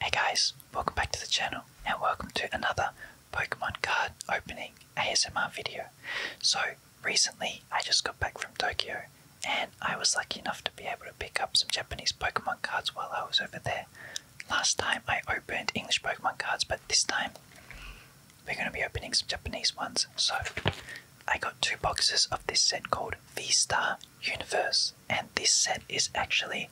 Hey guys, welcome back to the channel and welcome to another Pokemon card opening ASMR video. So recently I just got back from Tokyo and I was lucky enough to be able to pick up some Japanese Pokemon cards while I was over there. Last time I opened English Pokemon cards but this time we're going to be opening some Japanese ones. So I got two boxes of this set called V-Star universe. And this set is actually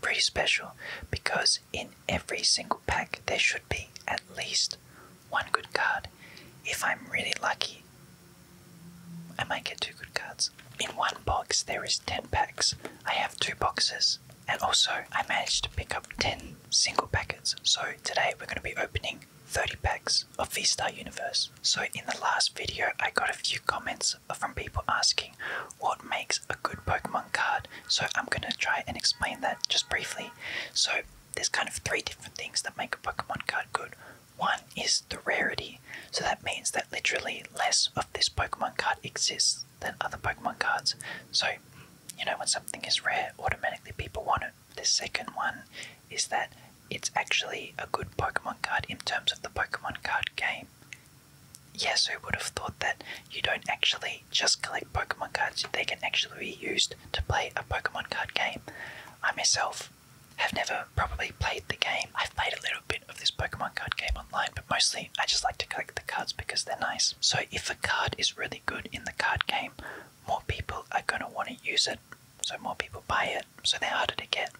pretty special because in every single pack there should be at least one good card. If I'm really lucky, I might get two good cards. In one box there is 10 packs. I have two boxes and also I managed to pick up 10 single packets. So today we're going to be opening 30 packs of v Universe. So in the last video I got a few comments comments from people asking what makes a good Pokemon card, so I'm going to try and explain that just briefly. So, there's kind of three different things that make a Pokemon card good. One is the rarity, so that means that literally less of this Pokemon card exists than other Pokemon cards. So, you know, when something is rare, automatically people want it. The second one is that it's actually a good Pokemon card in terms of the Pokemon card game yes, who would have thought that you don't actually just collect Pokemon cards, they can actually be used to play a Pokemon card game? I myself have never probably played the game. I've played a little bit of this Pokemon card game online, but mostly I just like to collect the cards because they're nice. So if a card is really good in the card game, more people are going to want to use it, so more people buy it, so they're harder to get.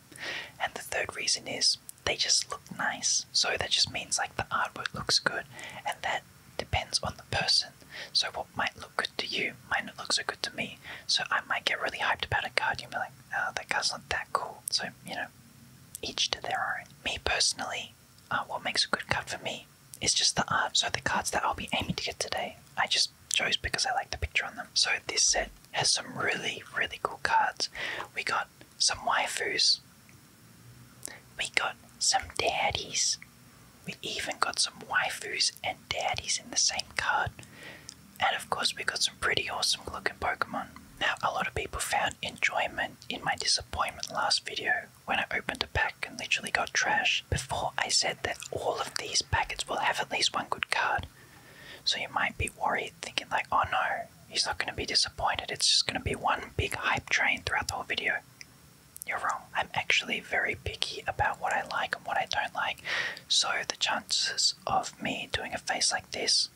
And the third reason is they just look nice. So that just means like the artwork looks good, and that depends on the person. So what might look good to you might not look so good to me. So I might get really hyped about a card, you might be like, oh, that card's not that cool. So, you know, each to their own. Me personally, uh, what makes a good card for me is just the art. So the cards that I'll be aiming to get today, I just chose because I like the picture on them. So this set has some really, really cool cards. We got some waifus. We got some daddies. We even got some waifus and daddies in the same card. And of course, we got some pretty awesome looking Pokemon. Now, a lot of people found enjoyment in my disappointment last video when I opened a pack and literally got trash. Before, I said that all of these packets will have at least one good card. So you might be worried, thinking like, oh no, He's not going to be disappointed. It's just going to be one big hype train throughout the whole video. You're wrong. I'm actually very picky about what I like and what I don't like. So the chances of me doing a face like this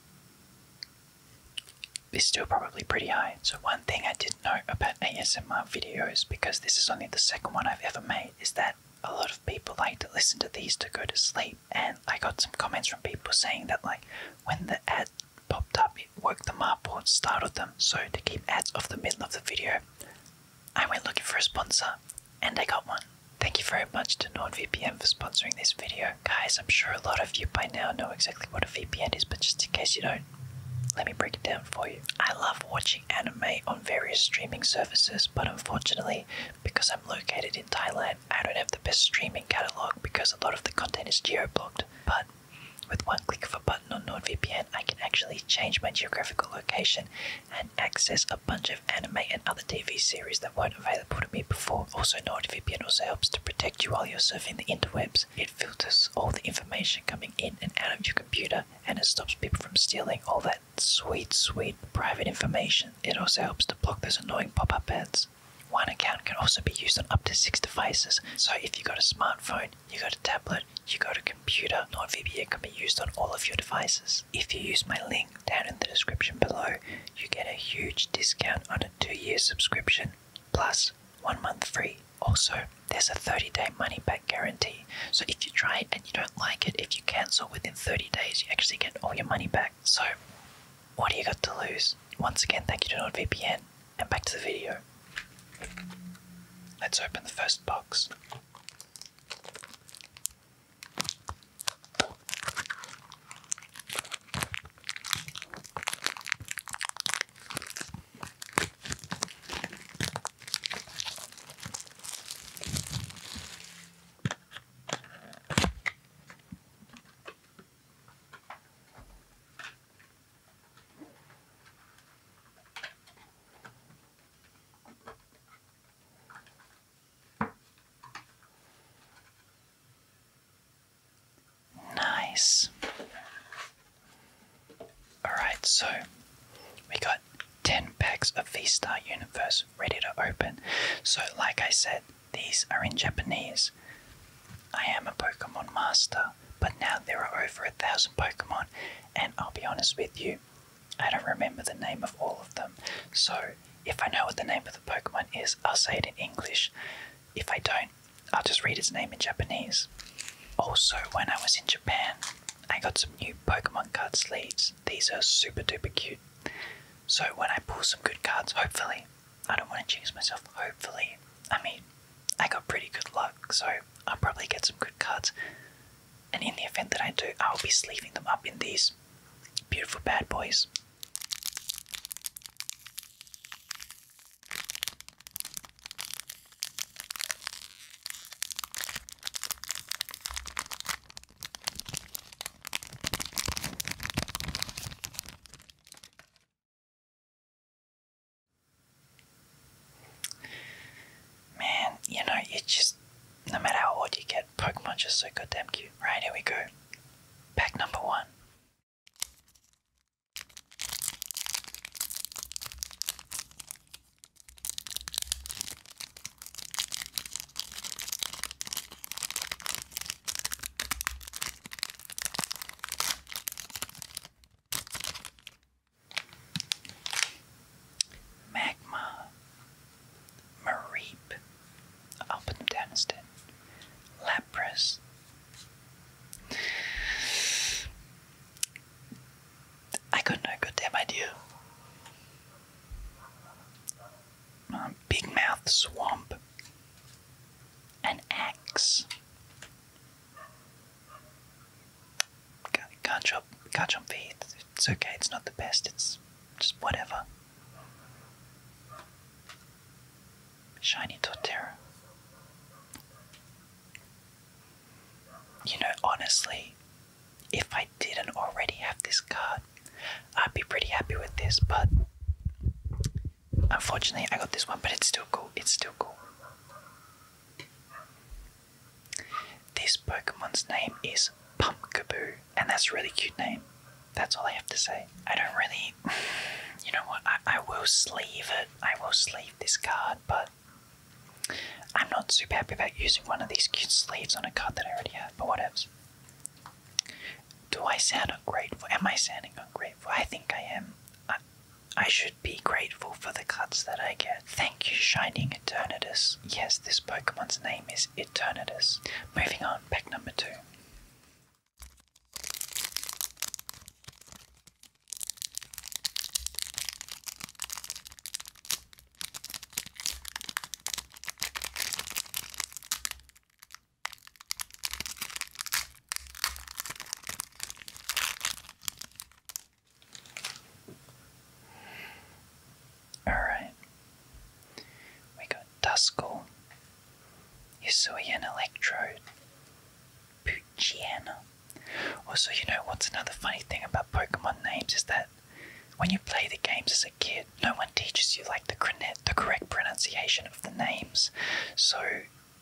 is still probably pretty high. So one thing I did know about ASMR videos, because this is only the second one I've ever made, is that a lot of people like to listen to these to go to sleep and I got some comments from people saying that like when the ad popped up it woke them up or startled them so to keep ads off the middle of the video I went looking for a sponsor and I got one. Thank you very much to NordVPN for sponsoring this video. Guys, I'm sure a lot of you by now know exactly what a VPN is, but just in case you don't, let me break it down for you. I love watching anime on various streaming services, but unfortunately, because I'm located in Thailand, I don't have the best streaming catalog because a lot of the content is geo-blocked, but with one click of a button on NordVPN, I can actually change my geographical location and access a bunch of anime and other TV series that weren't available to me before. Also, NordVPN also helps to protect you while you're surfing the interwebs. It filters all the information coming in and out of your computer and it stops people from stealing all that sweet, sweet private information. It also helps to block those annoying pop up ads. One account can also be used on up to six devices. So if you've got a smartphone, you've got a tablet, you've got a computer, NordVPN can be used on all of your devices. If you use my link down in the description below, you get a huge discount on a two-year subscription, plus one month free. Also, there's a 30-day money-back guarantee. So if you try it and you don't like it, if you cancel within 30 days, you actually get all your money back. So what do you got to lose? Once again, thank you to NordVPN, and back to the video. Let's open the first box. Nice. Alright, so we got 10 packs of V Star Universe ready to open. So, like I said, these are in Japanese. I am a Pokemon master, but now there are over a thousand Pokemon, and I'll be honest with you, I don't remember the name of all of them. So if I know what the name of the Pokemon is, I'll say it in English. If I don't, I'll just read its name in Japanese. Also, when I was in Japan, I got some new Pokemon card sleeves. These are super duper cute. So when I pull some good cards, hopefully, I don't want to change myself. Hopefully, I mean, I got pretty good luck, so I'll probably get some good cards. And in the event that I do, I'll be sleeving them up in these beautiful bad boys. Man, you know, you just, no matter how old you get, Pokemon just so goddamn cute. Right, here we go. Pack number one. Magma, Mareep, Alban Daniston, Lapras. I got no goddamn idea. big Mouth Swamp, an X. can Can't jump, can't It's okay, it's not the best, it's just whatever. Shiny Torterra. You know, honestly, if I didn't already have this card, I'd be pretty happy with this, but Unfortunately, I got this one, but it's still cool. It's still cool. This Pokemon's name is Pumpkaboo, and that's a really cute name. That's all I have to say. I don't really. You know what? I, I will sleeve it. I will sleeve this card, but I'm not super happy about using one of these cute sleeves on a card that I already have, but whatevs. Do I sound ungrateful? Am I sounding ungrateful? I think I am. I, should be grateful for the cuts that I get. Thank you, Shining Eternatus. Yes, this Pokemon's name is Eternatus. Moving on, pack number two. Alright. We got Duskull, Hisuian Electrode, Poochyena. Also, you know what's another funny thing about Pokemon names is that when you play the games as a kid, no one teaches you like the correct pronunciation of the names. So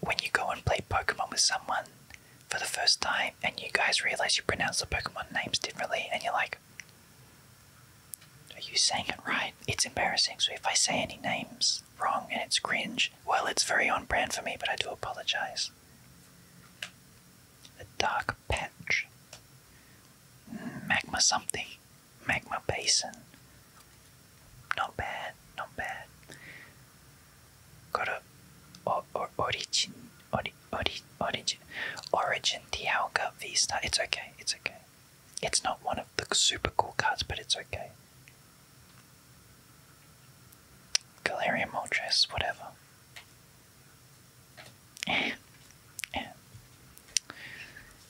when you go and play Pokemon with someone for the first time and you guys realize you pronounce the Pokemon names differently and you're like, are you saying it right? It's embarrassing. So if I say any names wrong and it's cringe, well, it's very on brand for me, but I do apologize. The dark patch. Magma something magma basin. Not bad, not bad. Got a or, or, origin, origin, origin Dialga V It's okay, it's okay. It's not one of the super cool cards, but it's okay. Galarian Moltres, whatever.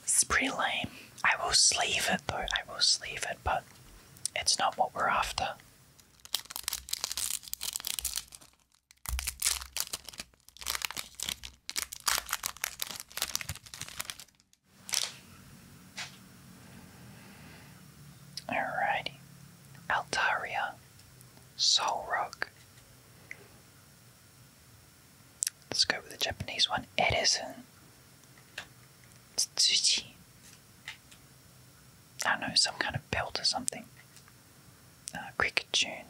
It's pretty lame. I will sleeve it though, I will sleeve it, but it's not what we're after. Alrighty. Altaria. Soul Let's go with the Japanese one. Edison. Tsutsuji. I don't know, some kind of belt or something. Uh, cricket tune.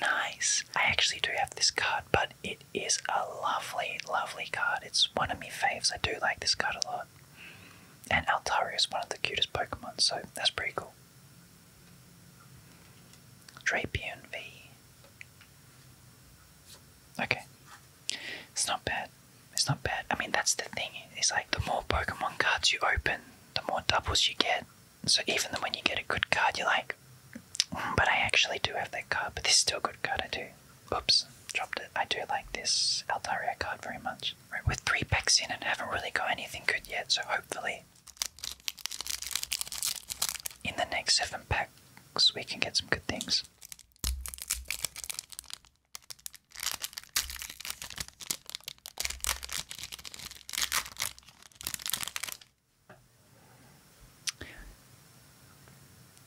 Nice. I actually do have this card, but it is a lovely, lovely card. It's one of my faves. I do like this card a lot. And Altaria is one of the cutest Pokemon, so that's pretty cool. Drapion V. Okay. It's not bad. It's not bad. I mean, that's the thing. It's like the more Pokemon cards you open, the more doubles you get. So even when you get a good card, you're like, mm, but I actually do have that card, but this is still a good card, I do. Oops, dropped it. I do like this Altaria card very much. Right, with three packs in and haven't really got anything good yet, so hopefully in the next seven packs, we can get some good things.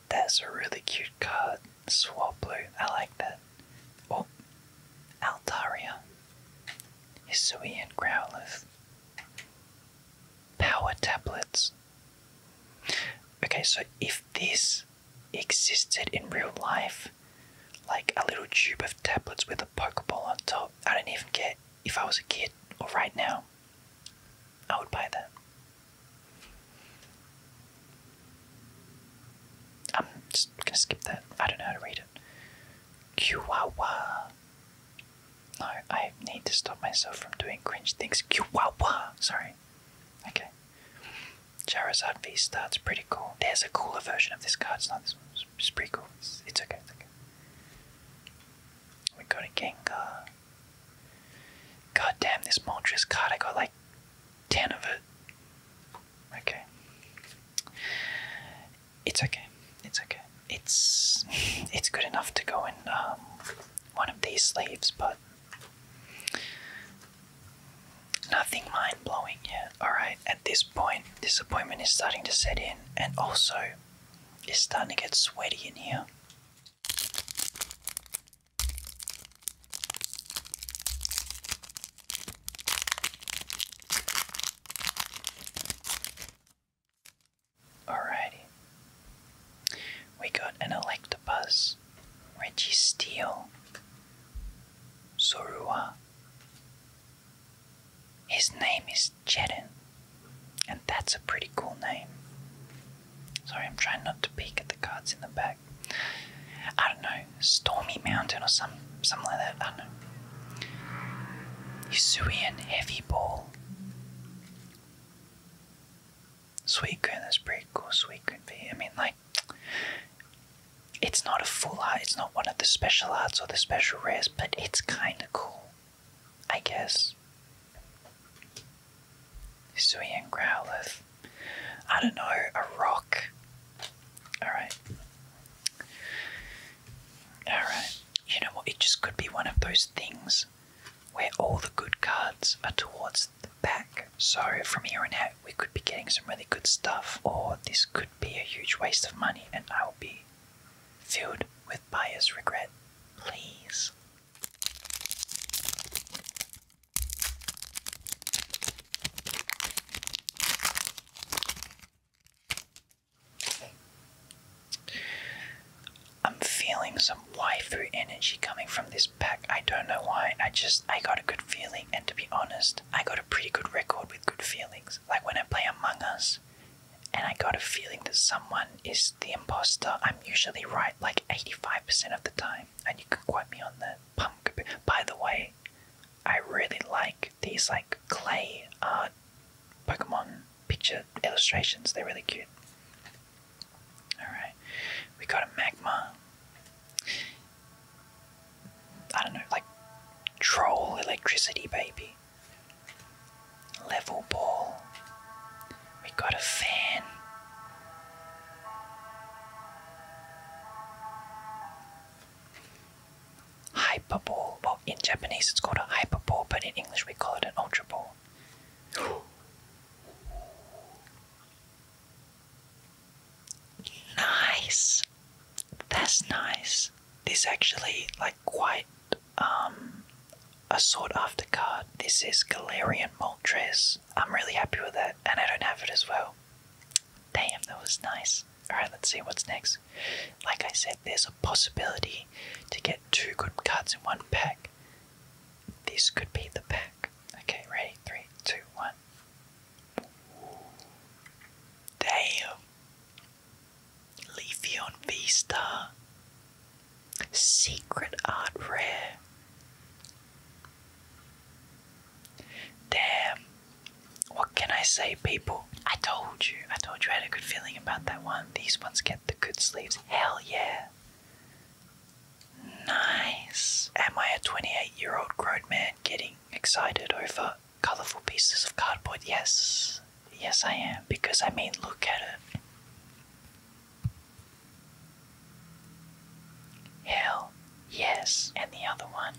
That's a really cute card, Swablu. I like that. Oh, Altaria, is and Growlithe, power tablets. Okay, so if this existed in real life, like a little tube of tablets with a Pokeball on top, I don't even care if I was a kid or right now, I would buy that. I'm just gonna skip that. I don't know how to read it. Chihuahua. No, I need to stop myself from doing cringe things. Chihuahua! Sorry. Okay. Charizard V starts pretty cool. There's a cooler version of this card. It's not this one. It's, pretty cool. It's, okay. It's okay. We got a Genga. God damn, this monstrous card. I got like 10 of it. Okay it's okay. It's okay. It's it's good enough to go in um, one of these sleeves, but nothing mind blowing yet. All right. At this point, disappointment is starting to set in, and also it's starting to get sweaty in here. Alrighty. We got an Reggie Registeel, Sorua. His name is Jedin, and that's a pretty cool name. Sorry, I'm trying not to peek at the cards in the back. I don't know, Stormy Mountain or some something like that. I don't know. Usuian Heavy Ball. Suicune is pretty cool. Suicune I mean, like, it's not a full art. It's not one of the special arts or the special rares, but it's kind of cool, I guess. Sui and Growlithe. I don't know, a rock. Alright. Alright you know what? It just could be one of those things where all the good cards are towards the back. So from here on out, we could be getting some really good stuff, or this could be a huge waste of money, and I will be filled with buyer's regret. Please. I'm feeling some waifu energy coming from this pack. I don't know why. I just I got a good feeling, and to be honest, I got a pretty good record with good feelings. Like when I play Among Us, and I got a feeling that someone is the imposter. I'm usually right, like 85% of the time, and you can quote me on that. Pump. By the way, I really like these like clay art uh, Pokemon picture illustrations. They're really cute. Alright, we got a magma. I don't know, like troll electricity baby. Level ball. We got a fan. Hyper ball. In Japanese, it's called a hyperball, but in English, we call it an ultra ball. nice. That's nice. This actually like quite um, a sought after card. This is Galarian Moltres. I'm really happy with that, and I don't have it as well. Damn, that was nice. Alright, let's see what's next. Like I said, there's a possibility to get two good cards in one pack. This could be the pack. Okay, ready? Three, two, one. Damn. Leafeon V Star. Secret Art Rare. Damn. What can I say, people? I told you. I told you I had a good feeling about that one. These ones get the good sleeves. Hell yeah. Nice. Am I a 28 year old grown man getting excited over colourful pieces of cardboard? Yes. Yes, I am. Because I mean, look at it. Hell yes. And the other one.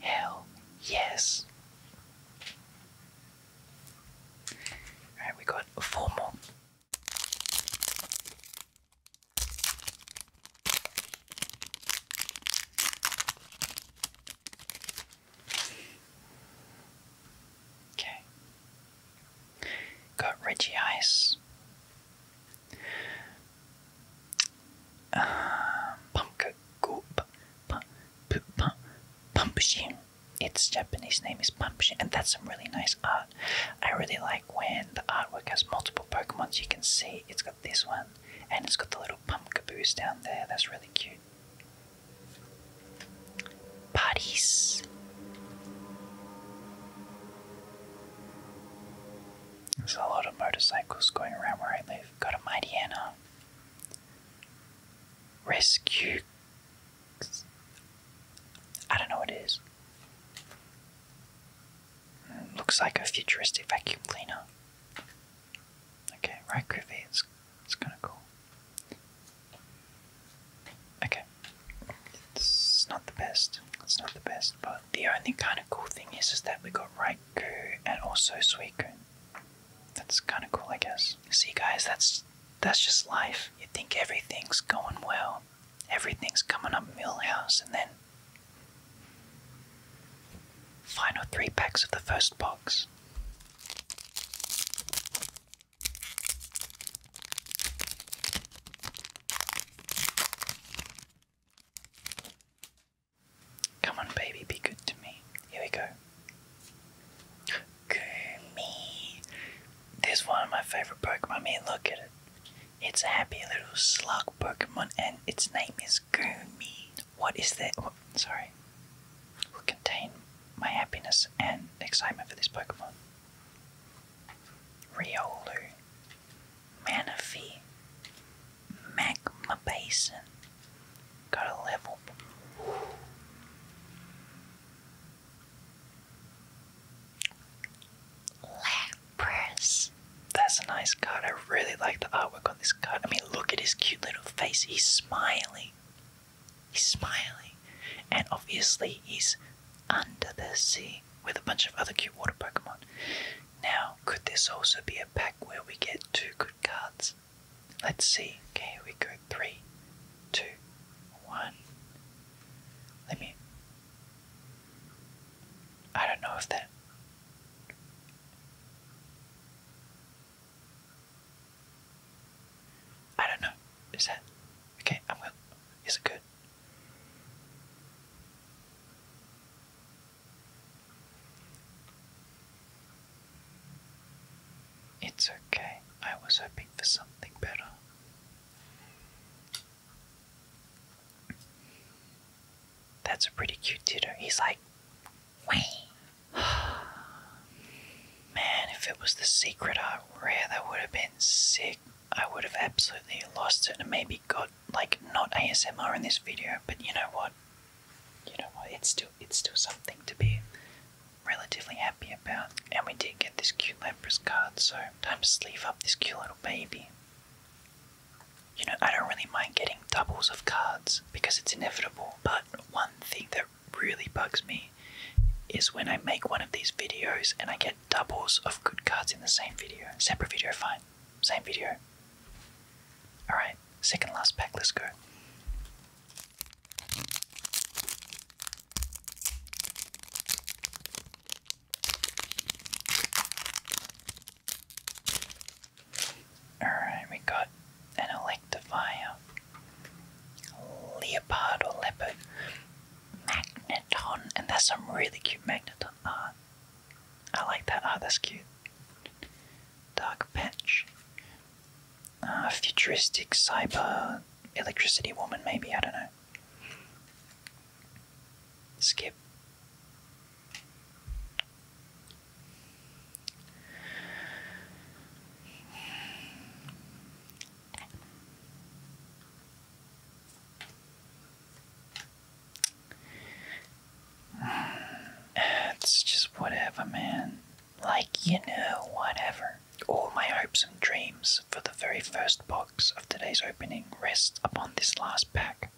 Hell yes. Alright, we got four more. Okay. Got Reggie Ice. Uh, Pumpkin Goop. P Pumpshin. Its Japanese name is Pumpshin, and that's some really nice art. I really like when the artwork has multiple Pokemons. You can see it's got this one, and it's got the little Pumpkaboos down there. That's really cute. Parties. There's a lot of motorcycles going around where I live. Go to mighty Anna. Rescue. I don't know what it is. Mm, looks like a futuristic vacuum cleaner. Okay, right groovy, it's, it's kind of cool. Okay, it's not the best, it's not the best, but the only kind of cool thing is, is that we got Raikou and also Suicune that's kind of cool, I guess. See, guys, that's that's just life. You think everything's going well, everything's coming up Millhouse, and then final three packs of the first box. Come on, baby, be good to me. Here we go. Gummy. This one of my favorite Pokemon. I look at it. It's a happy little slug Pokemon, and its name is Gummy. What is that? Oh, sorry. Will contain my happiness and excitement for this Pokemon. Riolu, Manaphy, Magma Basin, Gotta level. Lapras. That's a nice card. I really like the artwork on this card. I mean, look at his cute little face. He's smiling. He's smiling. And obviously, he's under the sea with a bunch of other cute water Pokemon. Now, could this also be a pack where we get two good cards? Let's see. Okay, we go three, two, one. Let me. I don't know if that. I don't know. Is that okay? I'm good. Is it good? It's okay, I was hoping for something better. That's a pretty cute ditto. He's like, Wah. Man, if it was the secret art rare, that would have been sick. I would have absolutely lost it and maybe got, like, not ASMR in this video, but you know what? you know what? It's still it's still something to be relatively happy about. And we did get this cute Lapras card, so time to sleeve up this cute little baby. You know, I don't really mind getting doubles of cards because it's inevitable. But one thing that really bugs me is when I make one of these videos and I get doubles of good cards in the same video. Separate video, fine. Same video. Alright, second last pack, let's go. Alright, we got an Electafire, Leopard Leopard, Magneton, and there's some really cute Magneton art. I like that art, that's cute. Dark Patch, uh, futuristic cyber electricity woman, maybe. I don't know. Skip. It's just whatever, man. Like, you know, whatever. All my hopes and dreams for the very first box of today's opening rest upon this last pack.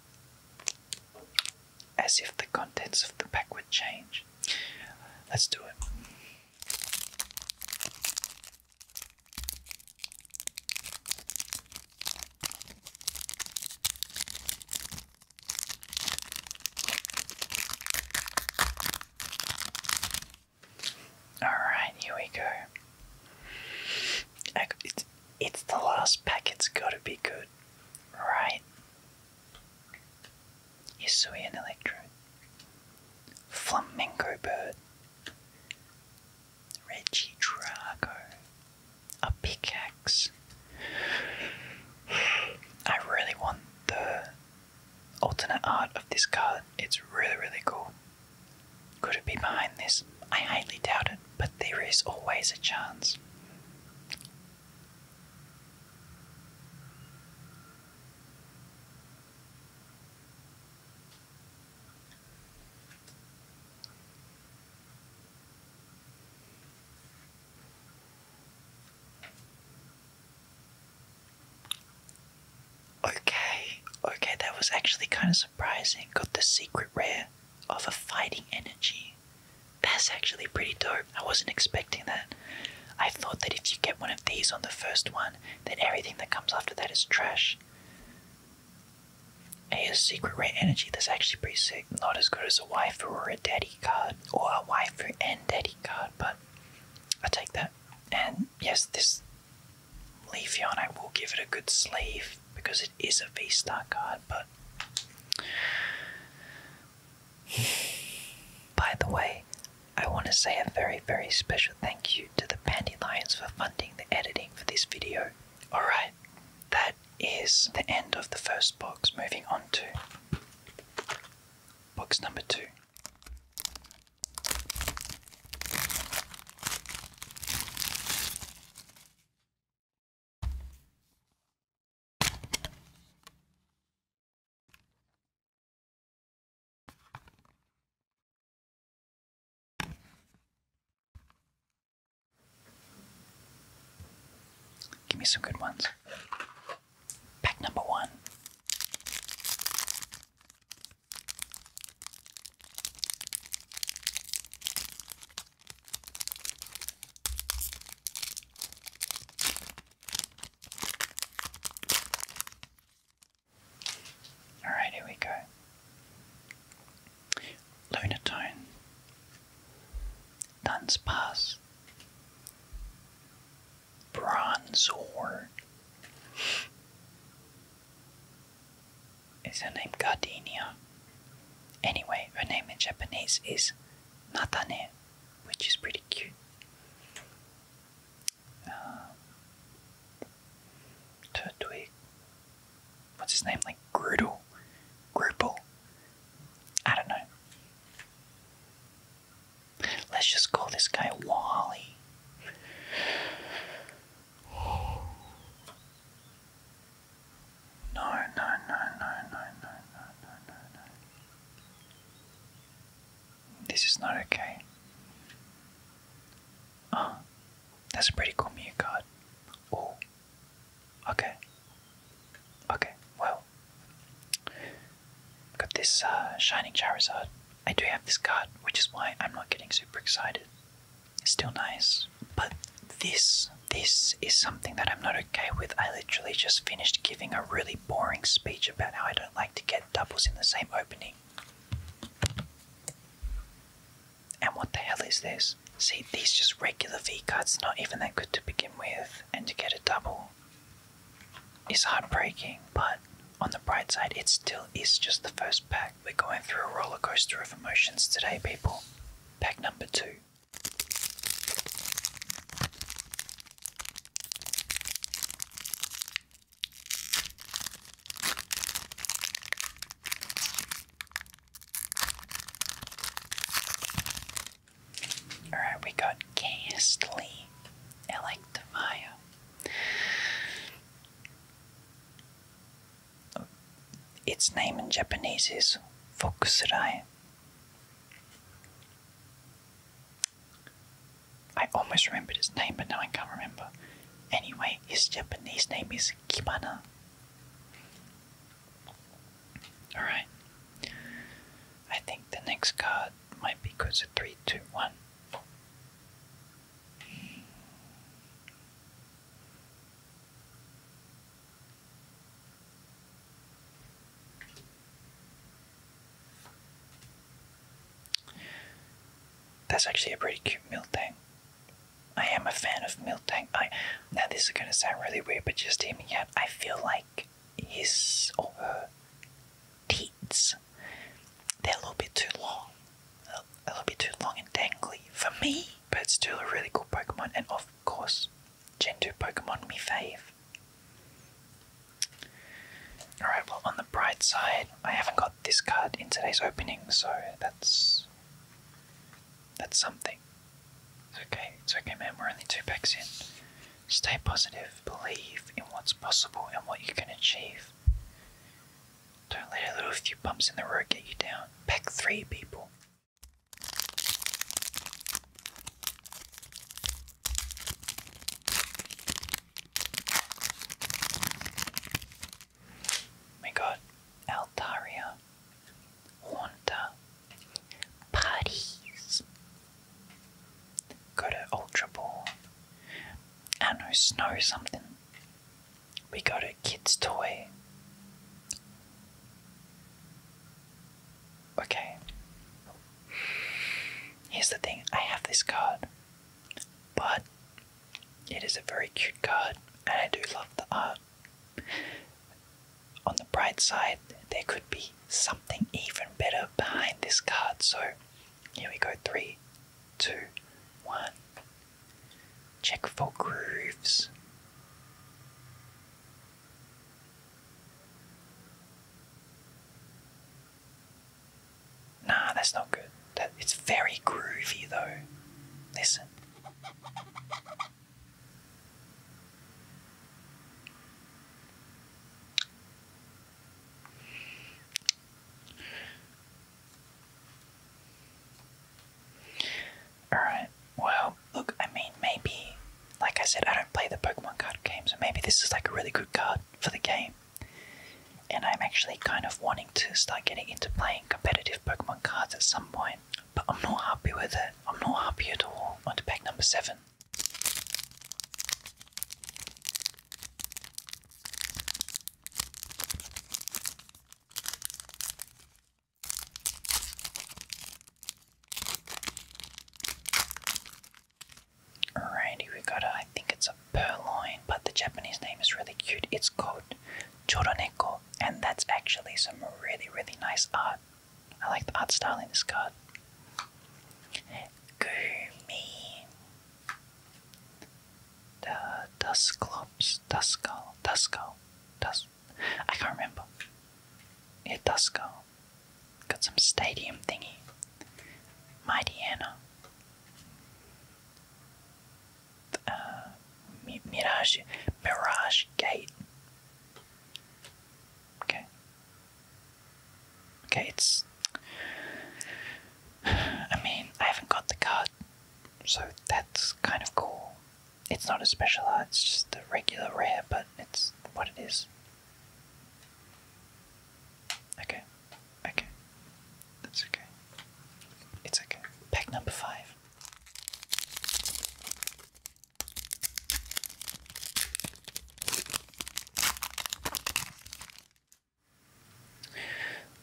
As if the contents of the pack would change. Let's do it. Alright, here we go. It's, it's the last pack, it's gotta be good, right? Hisuian Electro, Flamingo Bird, Reggie Drago, a pickaxe. I really want the alternate art of this card. It's really, really cool. Could it be behind this? I highly doubt it, but there is always a chance. Okay, okay, that was actually kind of surprising. Got the secret rare of a fighting energy. That's actually pretty dope. I wasn't expecting that. I thought that if you get one of these on the first one, then everything that comes after that is trash. A secret rare energy that's actually pretty sick. Not as good as a waifu or a daddy card, or a waifu and daddy card, but I take that. And yes, this Leafeon, will give it a good sleeve because it is a V-Star card, but... By the way, I want to say a very, very special thank you to the Pandylions for funding the editing for this video. Alright, that is the end of the first box. Moving on to Box number two. Give me some good ones. Pack number one. All right, here we go. Lunatone, Duns Pass, Bronze Is her name Gardenia? Anyway, her name in Japanese is Natane, which is pretty cute. Uh, Turtwig. What's his name? Like Grudel? Gruple? I don't know. Let's just call this guy Wally. No, no, no, no, no, no, no, no, no, no. This is not okay. Oh, that's a pretty cool mew card. Oh, okay. Okay, well, Got this uh, Shining Charizard. I do have this card, which is why I'm not getting super excited. It's still nice, but this this is something that I'm not okay with. I literally just finished giving a really boring speech about how I don't like to get doubles in the same opening. And what the hell is this? See, these just regular V cards, not even that good to begin with, and to get a double it's heartbreaking, but on the bright side, it still is just the first pack. We're going through a roller coaster of emotions today, people. Pack number two. Alright, we got Gastly, Electivire. Its name in Japanese is Fokusurai. I almost remembered its name, but now I can't remember. Anyway, his Japanese name is Kibana. Alright. I think the next card might be of 3, That's actually a pretty cute Miltank. I am a fan of Miltank. I now this is gonna sound really weird, but just hear me out. I feel like he's over. Teats. They're a little bit too long, a little bit too long and dangly for me, but it's still a really cool Pokemon, and of course, Gen 2 Pokemon me fave. Alright, well, on the bright side, I haven't got this card in today's opening, so that's. that's something. It's okay, it's okay, man, we're only two packs in. Stay positive, believe in what's possible and what you can achieve. Don't let a little few bumps in the road get you down. Pack three people. We got Altaria, Haunter, Parties, Go to Ultra Ball. And know, Snow something. We go to Kids Toy. Okay. Here's the thing I have this card, but it is a very cute card, and I do love the art. On the bright side, there could be something even better behind this card. So here we go. Three, two, one. Check for grooves. Nah, that's not good. That it's very groovy though. Listen. Alright, well, look, I mean, maybe, like I said, I don't play the Pokemon card game, so maybe this is like a really good card for the game. And I'm actually kind of wanting to start getting into playing competitive Pokemon cards at some point, but I'm not happy with it. I'm not happy at all. On to pack number 7. Alrighty, we got a, I think it's a purloin, but the Japanese name is really cute. It's called Choroneko, and that's actually some really, really nice art. I like the art style in this card. Gurmi The Dusclops Duskull Duskull Dust I can't remember. Yeah, Duskull. Got some stadium thingy. Mighty Anna. Uh, Mirage Mirage Gate. Okay. Okay, it's. I mean, I haven't got the card, so that's kind of cool. It's not a special card; it's just a regular rare, but it's what it is. Okay, okay. That's okay. It's okay. Pack number five.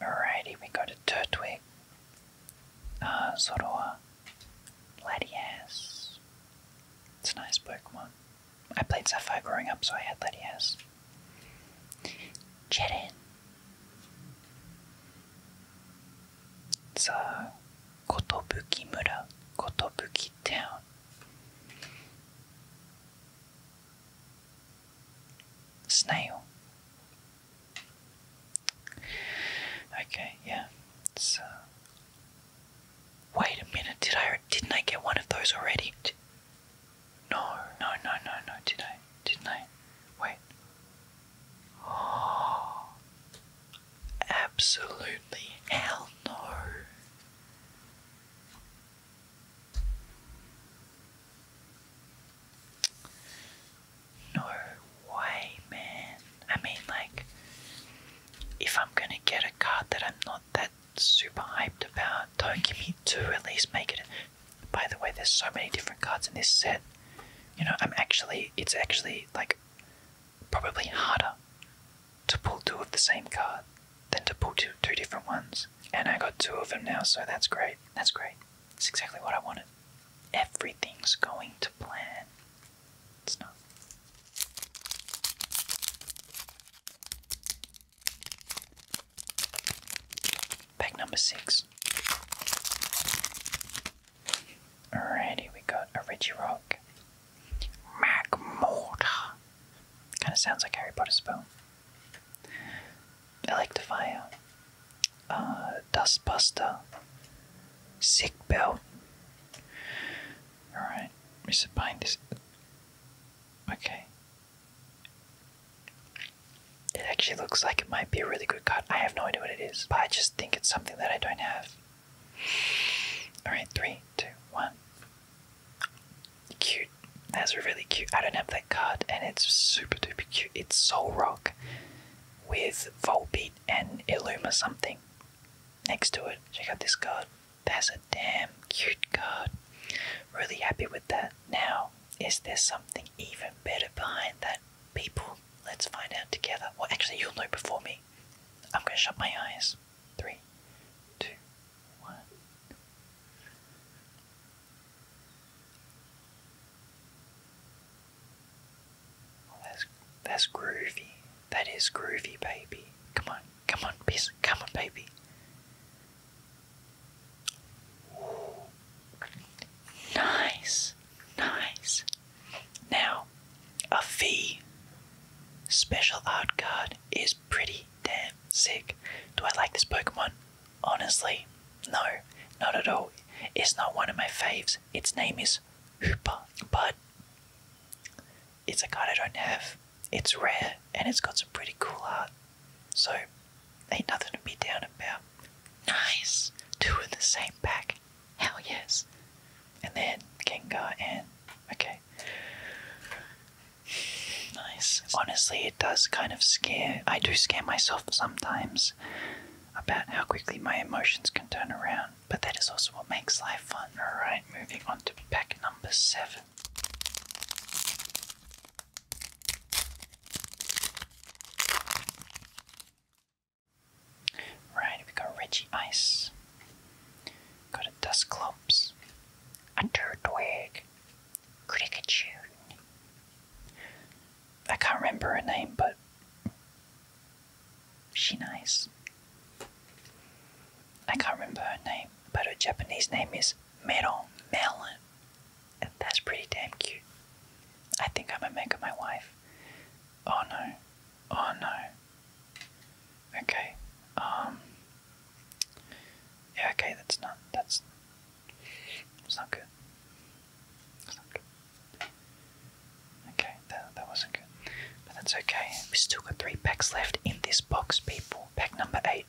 Alrighty, we got a Turtwig, Zorua, uh, Latias. It's a nice Pokemon. I played Sapphire growing up, so I had Latias. Cheddin. It's a Kotobuki Mura, Town. Snail. Okay, yeah. It's, uh... Wait a minute, did I didn't I get one of those already? Did, no, no, no, no, no, did I? Didn't I? Wait. Oh, absolutely hell no. No way, man. I mean, like, if I'm gonna get a card that I'm not that super hyped about, don't give me two, at least make it. By the way, there's so many different cards in this set. You know, I'm actually, it's actually, like, probably harder to pull two of the same card than to pull two, two different ones. And I got two of them now, so that's great. That's great. It's exactly what I wanted. Everything's going to plan. It's not. Pack number six. Alrighty, we got a Reggie Rock, Mac Kind of sounds like Harry Potter spell. Electrify, fire. Uh, Dustbuster, Sick Belt. Alright, we should Okay. It actually looks like it might be a really good cut. I have no idea what it is, but I just think it's something that I don't have. Alright, three, two, one cute. That's really cute. I don't have that card, and it's super duper cute. It's Soul Rock with Volbeat and Illuma something next to it. Check out this card. That's a damn cute card. Really happy with that. Now, is there something even better behind that, people? Let's find out together. Well, actually, you'll know before me. I'm gonna shut my eyes. Three, two, Oh, that's that's groovy. That is groovy, baby. Come on, come on, baby. come on, baby. Ooh. Nice, nice. Now, a V special art card is pretty damn Sick. Do I like this Pokemon? Honestly, no, not at all. It's not one of my faves. Its name is Hooper, but it's a card I don't have. It's rare and it's got some pretty cool art. So, ain't nothing to be down about. Nice! Two in the same pack. Hell yes. And then Gengar and Okay. Nice. Honestly, it does kind of scare. I do scare myself sometimes about how quickly my emotions can turn around, but that is also what makes life fun. Alright, moving on to pack number seven. Right, we got Reggie Ice. Got a Dusclops. A Turtwig. Cricket I can't remember her name, but she nice. I can't remember her name, but her Japanese name is Melon Melon. that's pretty damn cute. I think I might make her my wife. Oh no. Oh no. Okay. Um, yeah. Okay. That's not. That's. That's not good. It's not good. Okay. That that wasn't good. But that's okay. We still got three packs left in this box, people. Pack number eight.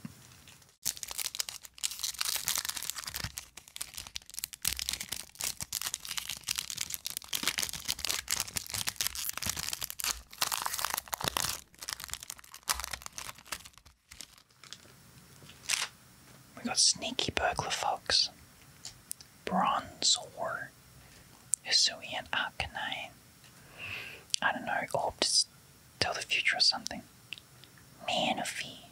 We got Sneaky Burglar Fox, Bronzor, Hisuian Arcanine. I don't know, Orb to tell the future or something. Manaphy.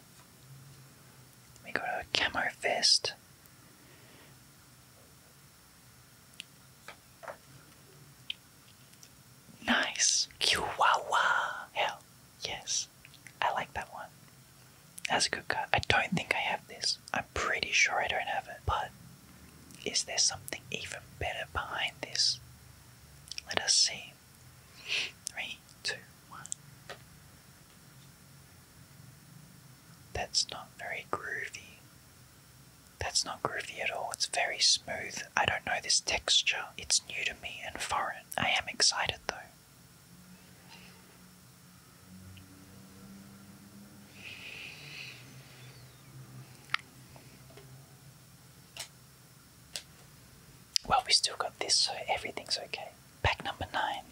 We got a Camo Fist. Nice. Chihuahua. Hell, yes. I like that one. That's a good card. I don't think I have this. I'm pretty sure I don't have it. But is there something even better behind this? Let us see. Three, two, one. That's not very groovy. That's not groovy at all, it's very smooth. I don't know this texture, it's new to me and foreign. I am excited though. Well, we still got this, so everything's okay. Pack number nine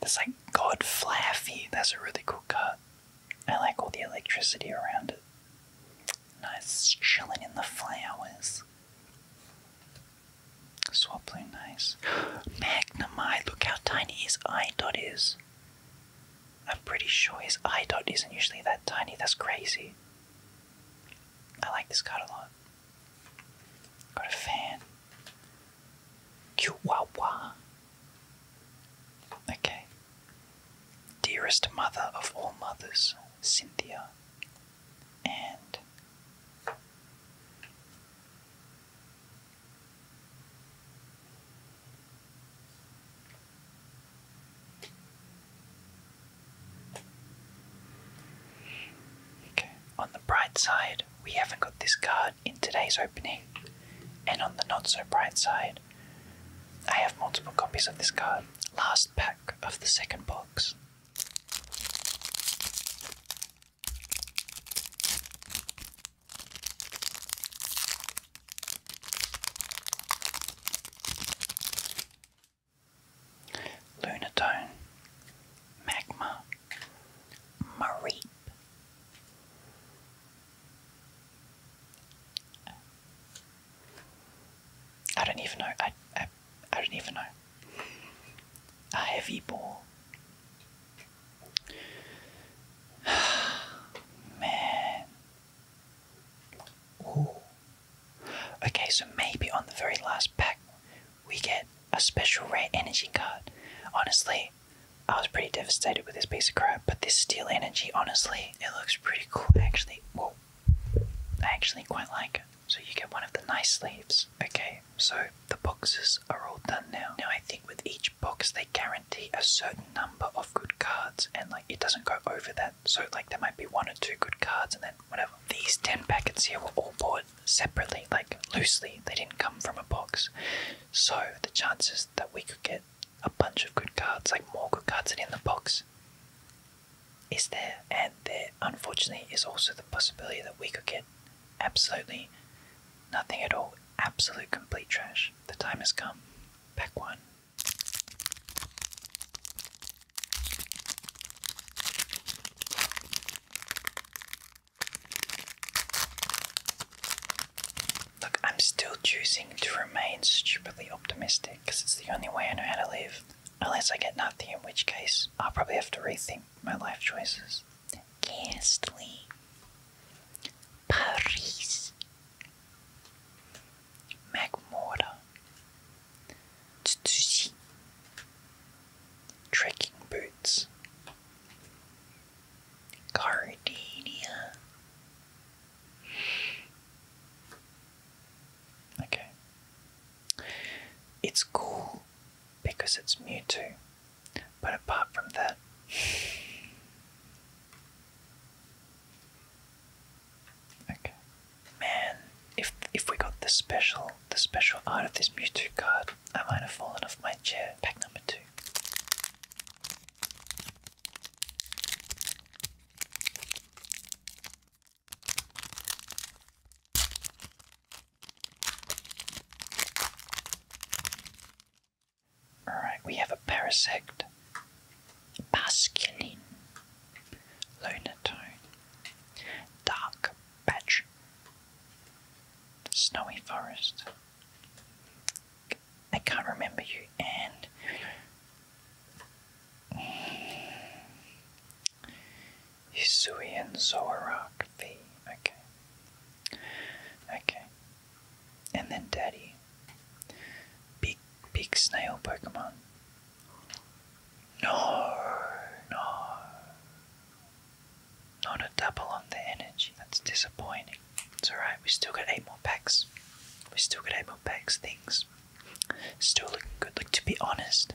that's like God Flaffy. That's a really cool cut. I like all the electricity around it. Nice chilling in the flowers. Swaploon, nice. Magnamite, look how tiny his eye dot is. I'm pretty sure his eye dot isn't usually that tiny, that's crazy. I like this card a lot. Got a fan. Chihuahua. Okay. Dearest mother of all mothers, Cynthia. And on the bright side, we haven't got this card in today's opening, and on the not so bright side, I have multiple copies of this card. Last pack of the second box. Lunatone, Magma, marip. I don't even know. I, I, I don't even know. A heavy ball. Man. Ooh. Okay, so maybe on the very last pack we get a special rare energy card. Honestly, I was pretty devastated with this piece of crap, but this steel energy, honestly, it looks pretty cool actually. Well, I actually quite like it. So you get one of the nice sleeves. Okay, so the boxes are all done now. Now I think with each box they guarantee a certain number of good cards and like it doesn't go over that so, like, there might be one or two good cards, and then whatever. These 10 packets here were all bought separately, like, loosely. They didn't come from a box. So, the chances that we could get a bunch of good cards, like more good cards than in the box, is there. And there, unfortunately, is also the possibility that we could get absolutely nothing at all. Absolute complete trash. The time has come. Pack one. Look, I'm still choosing to remain stupidly optimistic because it's the only way I know how to live. Unless I get nothing, in which case I'll probably have to rethink my life choices. Ghastly. Paris. Magmortar, Tsutsushi, Trekking Boots, Gardenia. Okay. It's cool because it's Mewtwo, but apart from that, Okay. Man, if if we got the special the special art of this Mewtwo card, I might have fallen off my chair. Pack number two. Alright, we have a Parasect, masculine, lunar tone, dark patch, snowy forest. I can't remember you and Yusui Zorak V. Okay. Okay. And then Daddy. Big, big snail Pokemon. No, no. Not a double on the energy, that's disappointing. It's alright, we still got 8 more packs. We still got 8 more packs, things. Still looking good. Look, to be honest,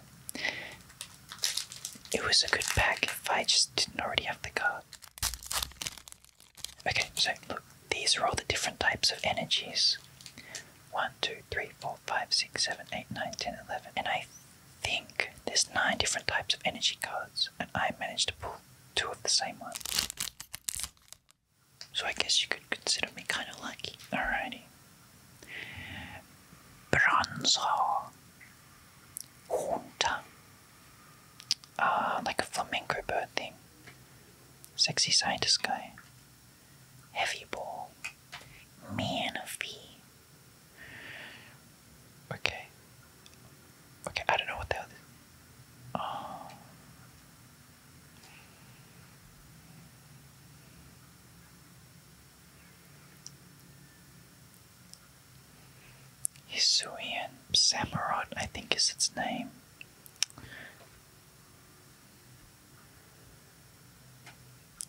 it was a good pack if I just didn't already have the card. Okay, so look, these are all the different types of energies. 1, 2, 3, 4, 5, 6, 7, 8, 9, 10, 11. And I think there's 9 different types of energy cards, and I managed to pull two of the same one. So I guess you could consider me kind of lucky. Alrighty. Bronzor. Junta. Ah, like a flamenco bird thing. Sexy scientist guy. Heavy Ball, Man of B. Okay. Okay, I don't know what the other. Oh. Hisuian Samurott, I think is its name.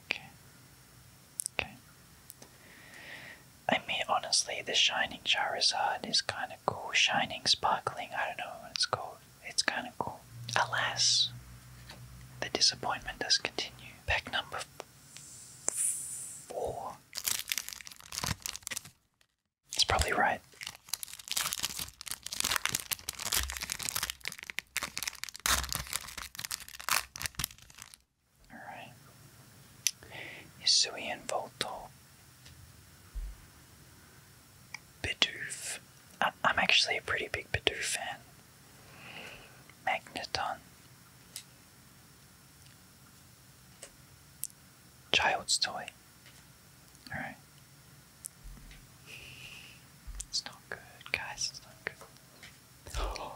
Okay. Okay. I mean, honestly, the Shining Charizard is kind of cool. Shining, sparkling, I don't know it's cool. It's kind of cool. Alas, the disappointment does continue. Pack number four. It's probably right. Alright. Yasui and Voltol. I am actually a pretty big Bidoof fan. Magneton. Child's toy. Alright. It's not good, guys. It's not good.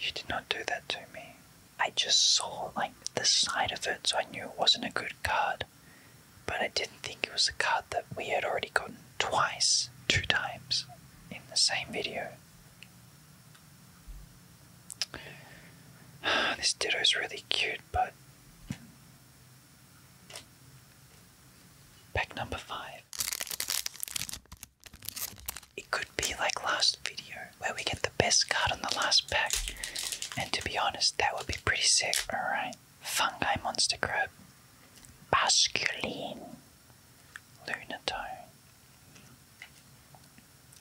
You did not do that to me. I just saw like the side of it, so I knew it wasn't a good card. But I didn't think it was a card that we had already gotten twice, two times in the same video. This ditto is really cute, but pack number five. It could be like last video where we get the best card on the last pack, and to be honest, that would be pretty sick. Alright, Fungi Monster Crab, Basculine, Lunatone,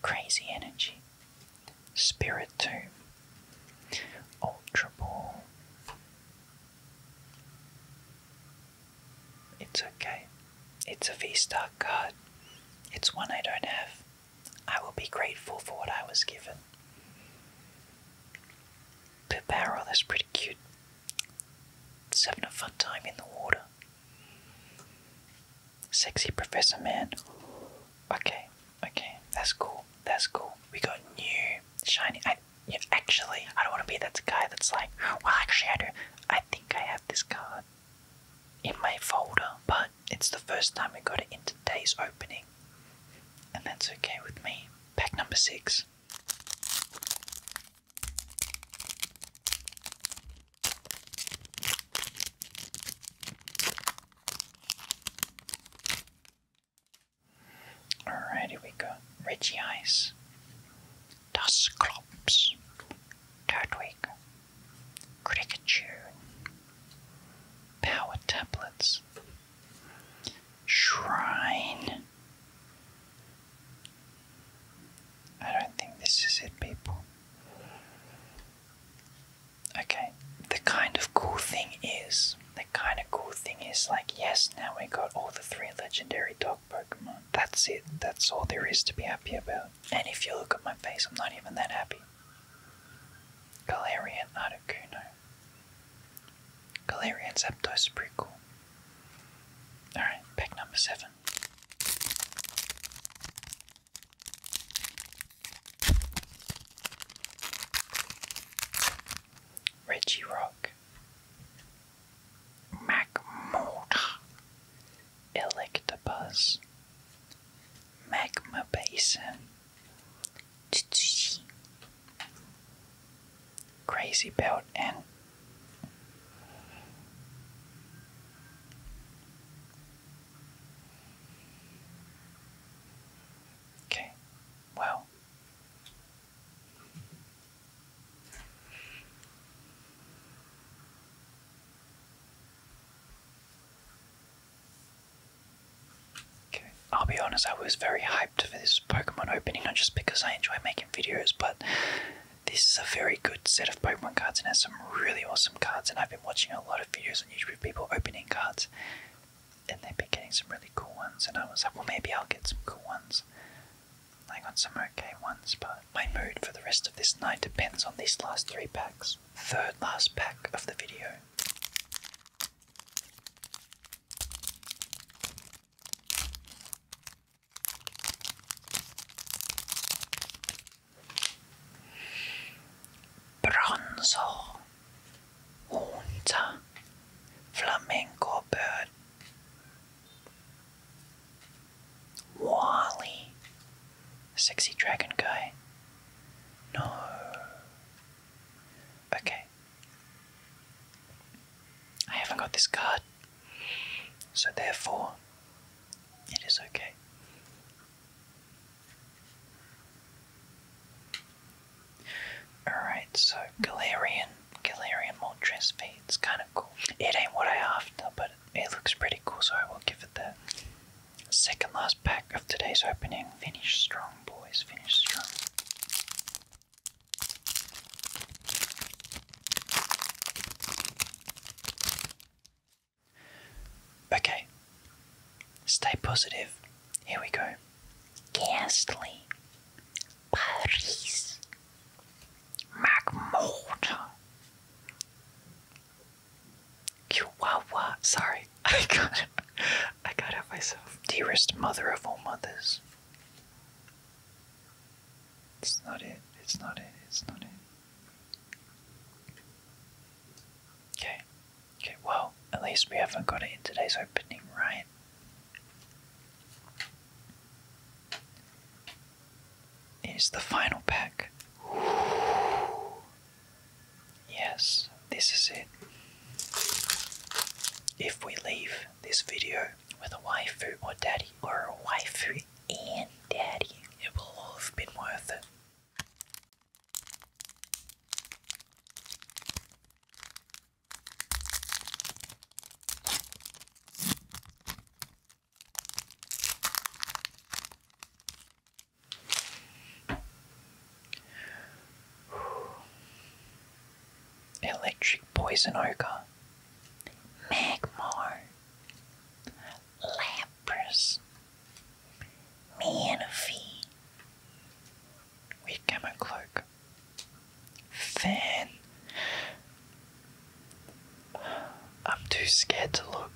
Crazy Energy, Spirit too. Ultra Ball. It's okay. It's a V star card. It's one I don't have. I will be grateful for what I was given. The that's pretty cute. having a fun time in the water. Sexy Professor Man. Okay, okay, that's cool. That's cool. We got new shiny. I actually, I don't want to be that guy that's like, well, actually, I do. I think I have this card in my folder, but it's the first time we got it in today's opening, and that's okay with me. Pack number six. Alright, we go. Richie Ice, Das Klops, Turtwig, Cricket Tune, Power Tablets, Shrine. I don't think this is it, people. Okay, the kind of cool thing is, the kind of cool thing is like, yes, now we got all the three legendary dog Pokemon. That's it, that's all there is to be happy about. And if you look at my face, I'm not even that happy. Galarian Articuno. Galarian Zapdos is pretty cool. Alright, pack number seven. Reggie Rock, MacMortar, Electabuzz, Magma Basin, Crazy Belt, and Okay, well, okay. I'll be honest, I was very hyped for this Pokemon opening, not just because I enjoy making videos, but this is a very good set of Pokemon cards and has some really awesome cards, and I've I've been watching a lot of videos on YouTube of people opening cards, and they've been getting some really cool ones. And I was like, well, maybe I'll get some cool ones. I got some okay ones, but my mood for the rest of this night depends on these last three packs. Third last pack of the video. Bronzo, Hunter, Flamingo Bird, Wally, Sexy Dragon Guy. No. Okay. I haven't got this card, so therefore it is okay. Alright, so Galarian, Galarian Moltres it's kind of cool. It ain't what I after, but it looks pretty cool, so I will give it that. Second last pack of today's opening. Finish strong, boys. Finish strong. Okay, stay positive. Here we go. Ghastly, Paris, McMurdo, Chihuahua. Sorry, I got it. I got it myself. Dearest mother of all mothers. It's not it. It's not it. It's not it. Okay. Okay, well, at least we haven't got it in today's opening, right? Is the final pack. Yes, this is it. If we leave this video with a waifu or daddy, or a waifu and daddy, it will all have been worth it. Electric Poison Ogre, Magmar, lepers, me and Fee, we came a cloak. Then I'm too scared to look.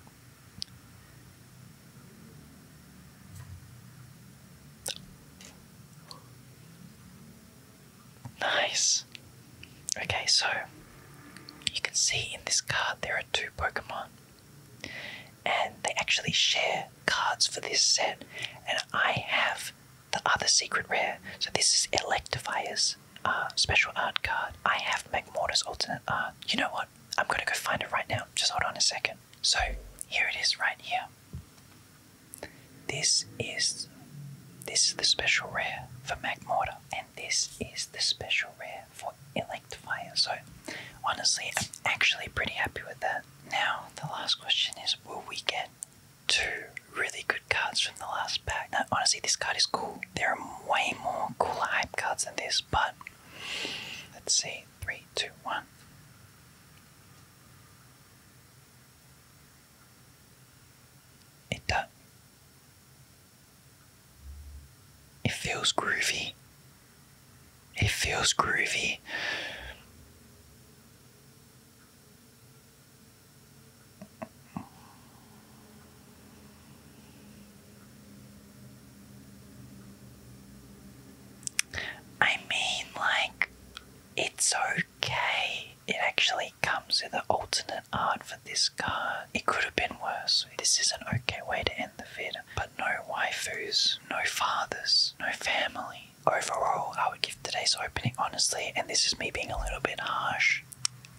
Nice. Okay, so you can see in this card there are two Pokemon. And they actually share cards for this set. And I have the other secret rare. So this is Electifier's uh, special art card. I have Magmortar's alternate art. You know what? I'm gonna go find it right now. Just hold on a second. So here it is right here. This is this is the special rare for Magmortar. And this is the special rare for electrifier. So honestly, I'm actually pretty happy with that. Now, the last question is, will we get two really good cards from the last pack? Now, honestly, this card is cool. There are way more cool hype cards than this, but let's see. Three, two, one. It does. It feels groovy. It feels groovy. I mean, like, it's okay. It actually comes with an alternate art for this car. It could have been worse. This is an okay way to end but no waifus, no fathers, no family. Overall, I would give today's opening, honestly, and this is me being a little bit harsh,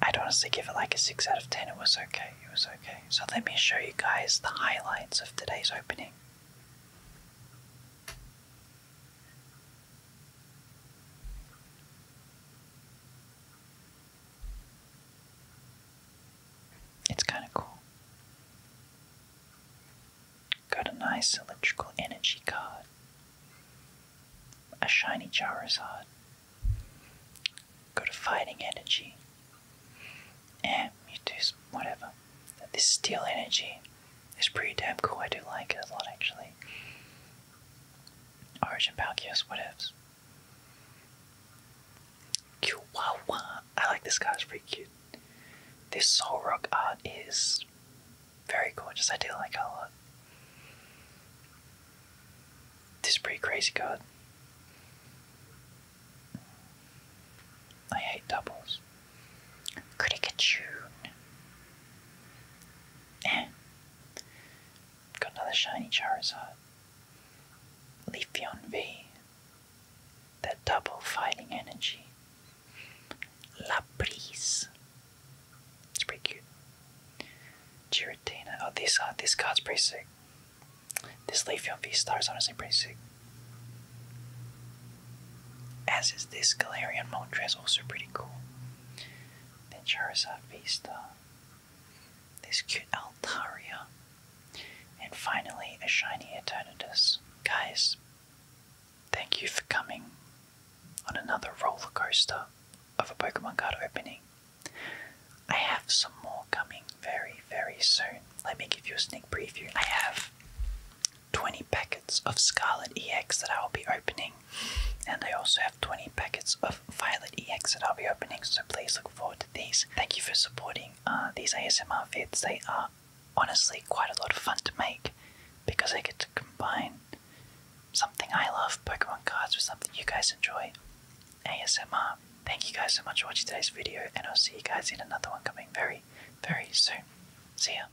I'd honestly give it like a 6 out of 10. It was okay, it was okay. So let me show you guys the highlights of today's opening. It's kind of cool. Got a nice electrical energy card, a shiny Charizard, got a fighting energy, and Mewtwo's whatever. This steel energy is pretty damn cool. I do like it a lot actually. Origin Palkios, whatevs. Chihuahua. I like this guy, it's pretty cute. This soul rock art is very gorgeous. I do like it a lot. This is pretty crazy card. I hate doubles. Criticatune. Eh. Got another shiny Charizard. on V. That double fighting energy. La Brise. It's pretty cute. Giratina. Oh, these, uh, these cards pretty sick. This Leafeon V-Star is honestly pretty sick. As is this Galarian Moltres, also pretty cool. Then Charizard V-Star this cute Altaria, and finally a shiny Eternatus. Guys, thank you for coming on another roller coaster of a Pokemon card opening. I have some more coming very, very soon. Let me give you a sneak preview. I have 20 packets of Scarlet EX that I will be opening, and I also have 20 packets of Violet EX that I'll be opening, so please look forward to these. Thank you for supporting uh, these ASMR vids. They are honestly quite a lot of fun to make because I get to combine something I love, Pokemon cards, with something you guys enjoy, ASMR. Thank you guys so much for watching today's video, and I'll see you guys in another one coming very, very soon. See ya.